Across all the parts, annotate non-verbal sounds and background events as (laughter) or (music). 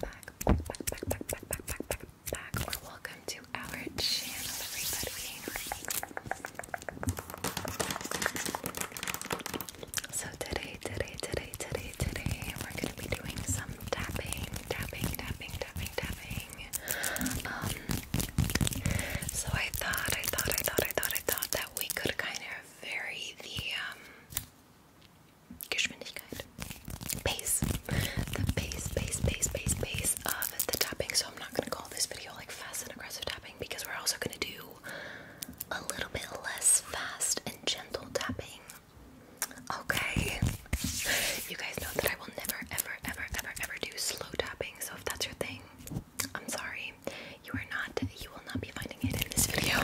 back, back, back, back, back, back, back, back, back, welcome to our channel, everybody. So today, today, today, today, today, we're gonna be doing some tapping, tapping, tapping, tapping, tapping. Um, so I thought, I thought, I thought, I thought, I thought that we could kind of vary the um. Geschwindigkeit. Pace. The pace, pace, pace, pace, pace of the tapping. So I'm not gonna call this video like fast and aggressive tapping because we're also gonna do a little bit less fast and gentle tapping. Okay. You guys know that I will never, ever, ever, ever, ever do slow tapping. So if that's your thing, I'm sorry. You are not, you will not be finding it in this video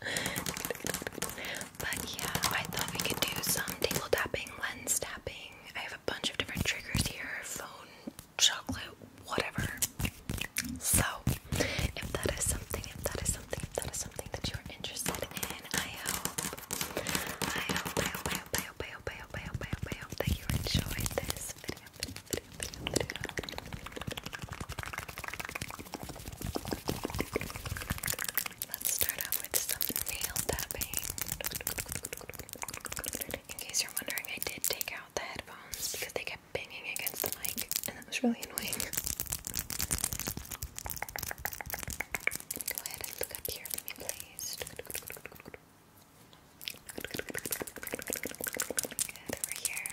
but yeah, I thought we could do some table tapping, lens tapping. I have a bunch of different triggers here phone, chocolate, whatever. So, if that is something, if that is something, if that is something that you're interested in, I hope, I hope, I hope, I hope, I hope, I hope, I hope, I hope, I hope, I hope that you enjoyed this video. Let's start off with some nail tapping. In case you're wondering, I did take out the headphones because they kept banging against the mic, and that was really annoying. Go ahead and look up here please. over here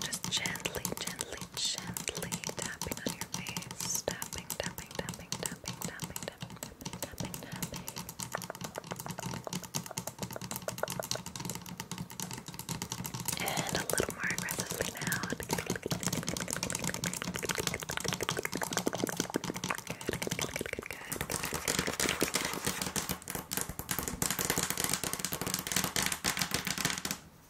Just gently, gently gently tapping on your face, tapping, tapping, tapping, tapping, tapping, tapping, tapping, tapping, And a little more aggressively now.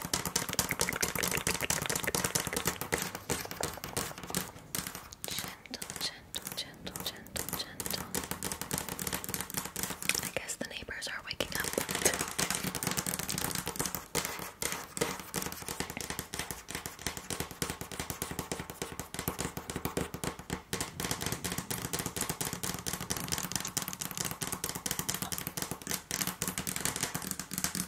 Gentle, gentle, gentle, gentle, I guess the neighbors are waking up.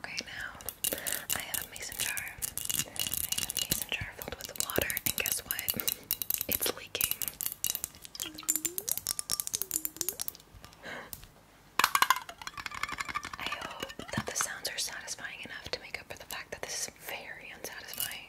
Okay, now I have a mason jar. mason jar filled with water, and guess what? It's leaking. I hope that the sounds are satisfying enough to make up for the fact that this is very unsatisfying.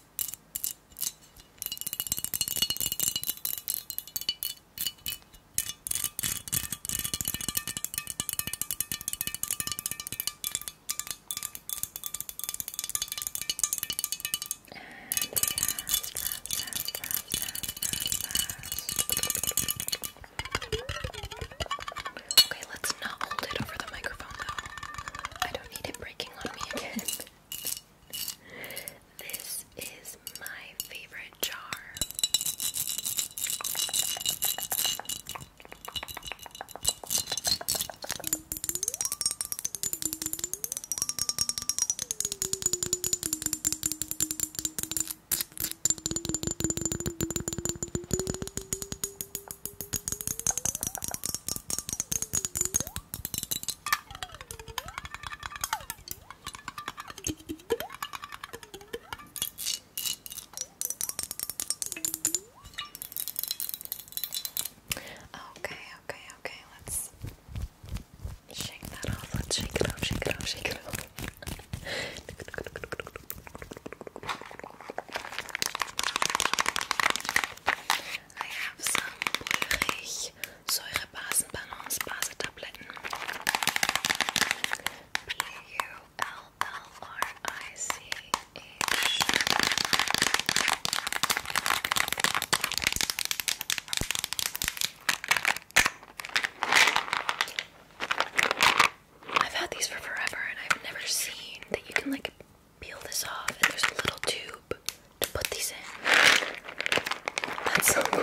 Okay, let's not hold it over the microphone though. I don't need it breaking on me again. (laughs) this is my favorite jar. Okay, okay, okay, let's shake that off. Let's shake it off, shake it off, shake it off. (laughs) I have some pulverig Säurebasen Balance Base Tabletten. B U L L R I C H. I've had these for forever and I've never seen that you can like peel this off, and there's a little tube to put these in. That's so cool.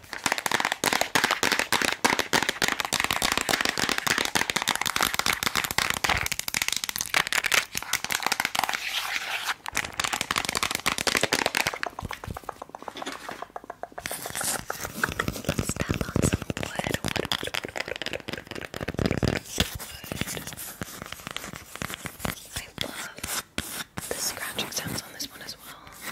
I love the scratching sounds on this one as well.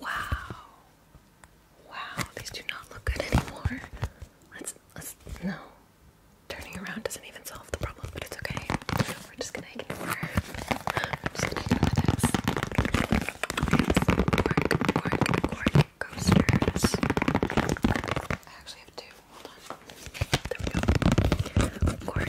Wow. Wow, these do not look good anymore. Let's let's no. Turning around doesn't even solve the problem, but it's okay. We're just gonna ignore. We're just ignore this. It's cork, cork, cork coasters. I actually have two. Hold on. There we go. Cork,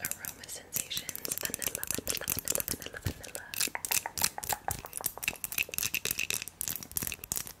Aroma Sensations Vanilla Vanilla Vanilla Vanilla Vanilla. Vanilla, vanilla, vanilla, vanilla, vanilla, vanilla, vanilla,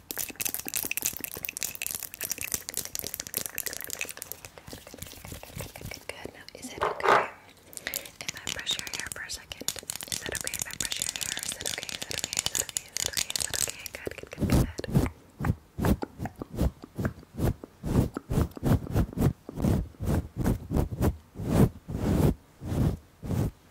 Good, good, good, good. Now, is it okay if I brush your hair for a second? Is that okay if I brush your hair? Is that okay? Is that okay? Is that okay? Is that okay? Is that okay? Good, good, good, good. Good,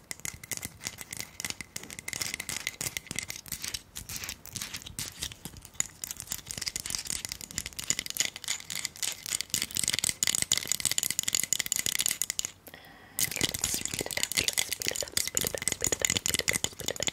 Let's speed it up, let's speed it up, speed it up, speed it up, speed it up, speed it up.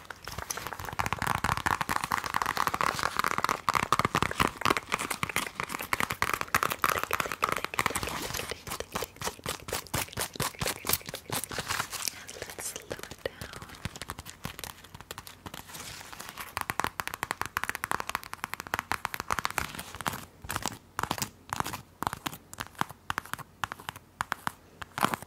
And let's slow it down. Good.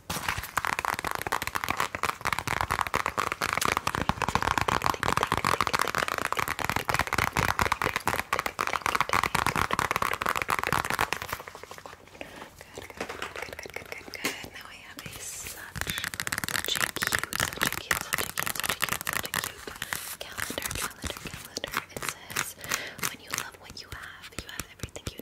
Now I have such such cute, such cute, such cute, such cute, such cute calendar, calendar, It says when you love what you have, you have everything you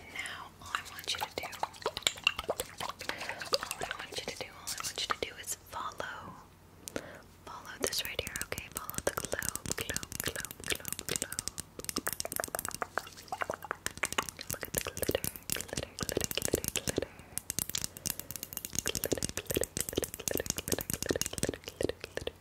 now all I want you to do, all I want you to do, all I want you to do is follow, follow this right here, okay? Follow the globe, globe, globe, globe, globe. Look at the glitter, glitter, glitter, glitter, glitter. Glitter, glitter, glitter, glitter, glitter, glitter, glitter, glitter, glitter,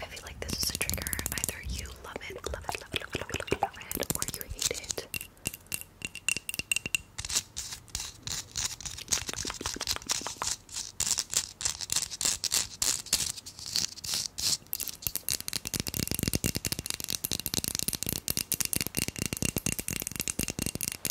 I feel like this is a trigger. Either you love it, love it, love it, love it, love it, love it, or you hate it.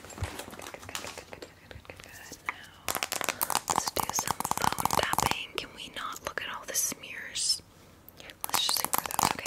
let's do some phone tapping. Can we not look at all the smears? Let's just ignore those, okay?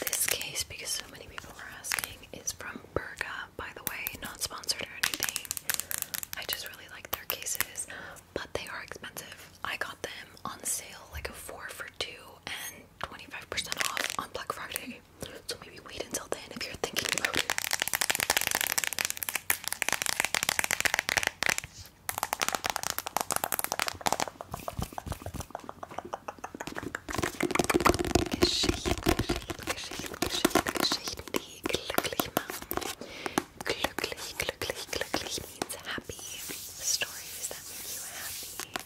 This case, because so many people were asking, is from Berga, by the way, not sponsored or anything. I just really like their cases, but they are expensive. I got them on sale like a four for two and 25% off on Black Friday. So maybe wait until then if you're thinking about it. Geschehen, geschehen, geschehen, geschehen, geschehen, die glücklich machen. Glücklich, glücklich, glücklich means happy. Stories that make you happy.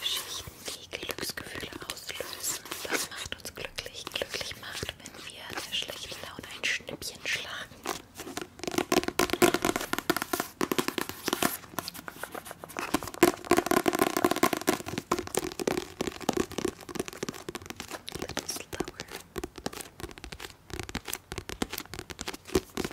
Geschichten, die Glücksgefühle auslösen. Das macht uns glücklich. Glücklich macht, wenn wir der schlechten Laune ein Schnippchen schlagen. Little slower.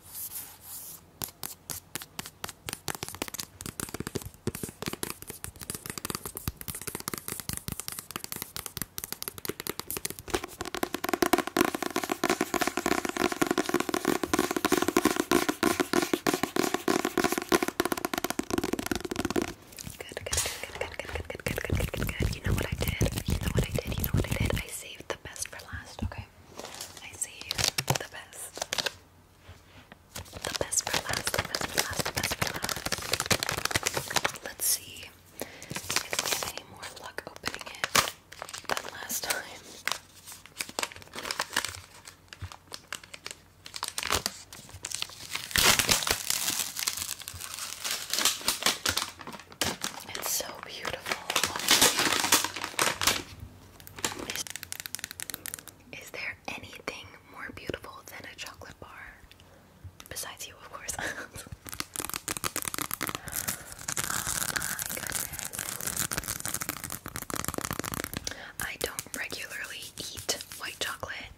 Good, good, good, good, good, good, good, good, good, good, good, You know what I did? You know what I did? You know what I did? I saved the best for last, okay? I see The best. The best for last. The best for last. The best for last. Let's see if we have any more luck opening it than last time. It's so beautiful. Is, there anything more beautiful than a chocolate bar? Besides you, of course. (laughs) oh my goodness. I don't regularly eat white chocolate,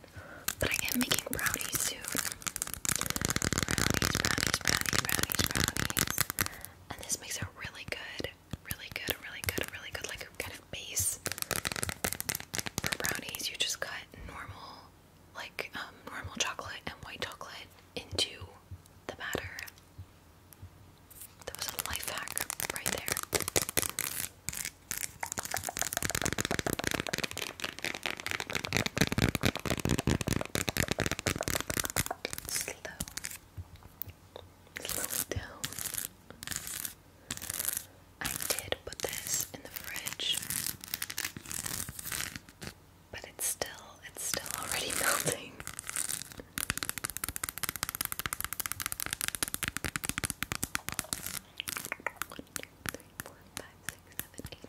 but I am making brownies soon. Brownies, brownies, brownies, brownies, brownies and this makes a really good, really good, really good, really good like kind of base for brownies. You just cut normal, like um, normal chocolate and white chocolate into the batter. That was a life hack right there. Slow. Slow it down. I did put this in the fridge. But it's still it's still already (laughs) melting. One, two, three, four, five, six, seven, eight, squares chocolate, chocolate, chocolate, chocolate, chocolate. Let's go a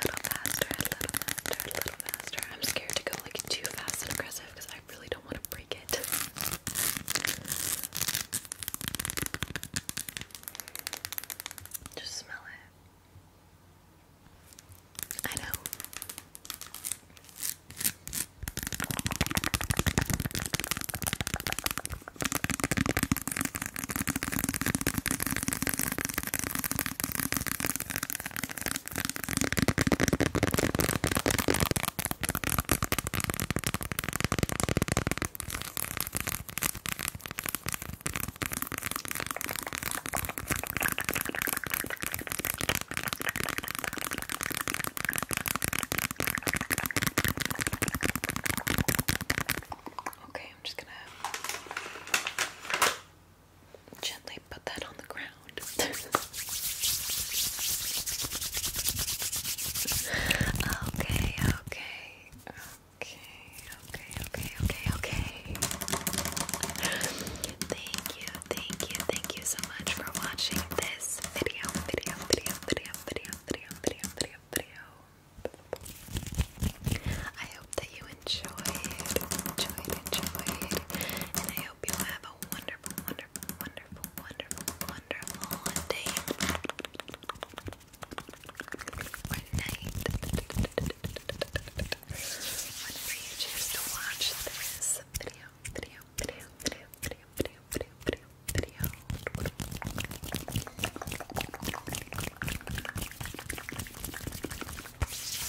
little faster, a little faster, a little faster. I'm scared to go like too fast and aggressive because I really don't want to break it. (laughs) Just smell it. I know. Okay, I'm just gonna gently put that on the ground okay, (laughs) okay, okay, okay, okay, okay, okay. Thank you, thank you, thank you so much for watching this video, video, video, video, video, video, video, video, video. I hope that you enjoyed, enjoyed, enjoyed, hope you have a wonderful, wonderful, wonderful, wonderful, wonderful day Whenever you choose to watch this video, video, video, video, video, video, video, video, video.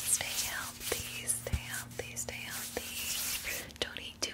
Stay healthy, stay healthy, stay healthy. Don't eat too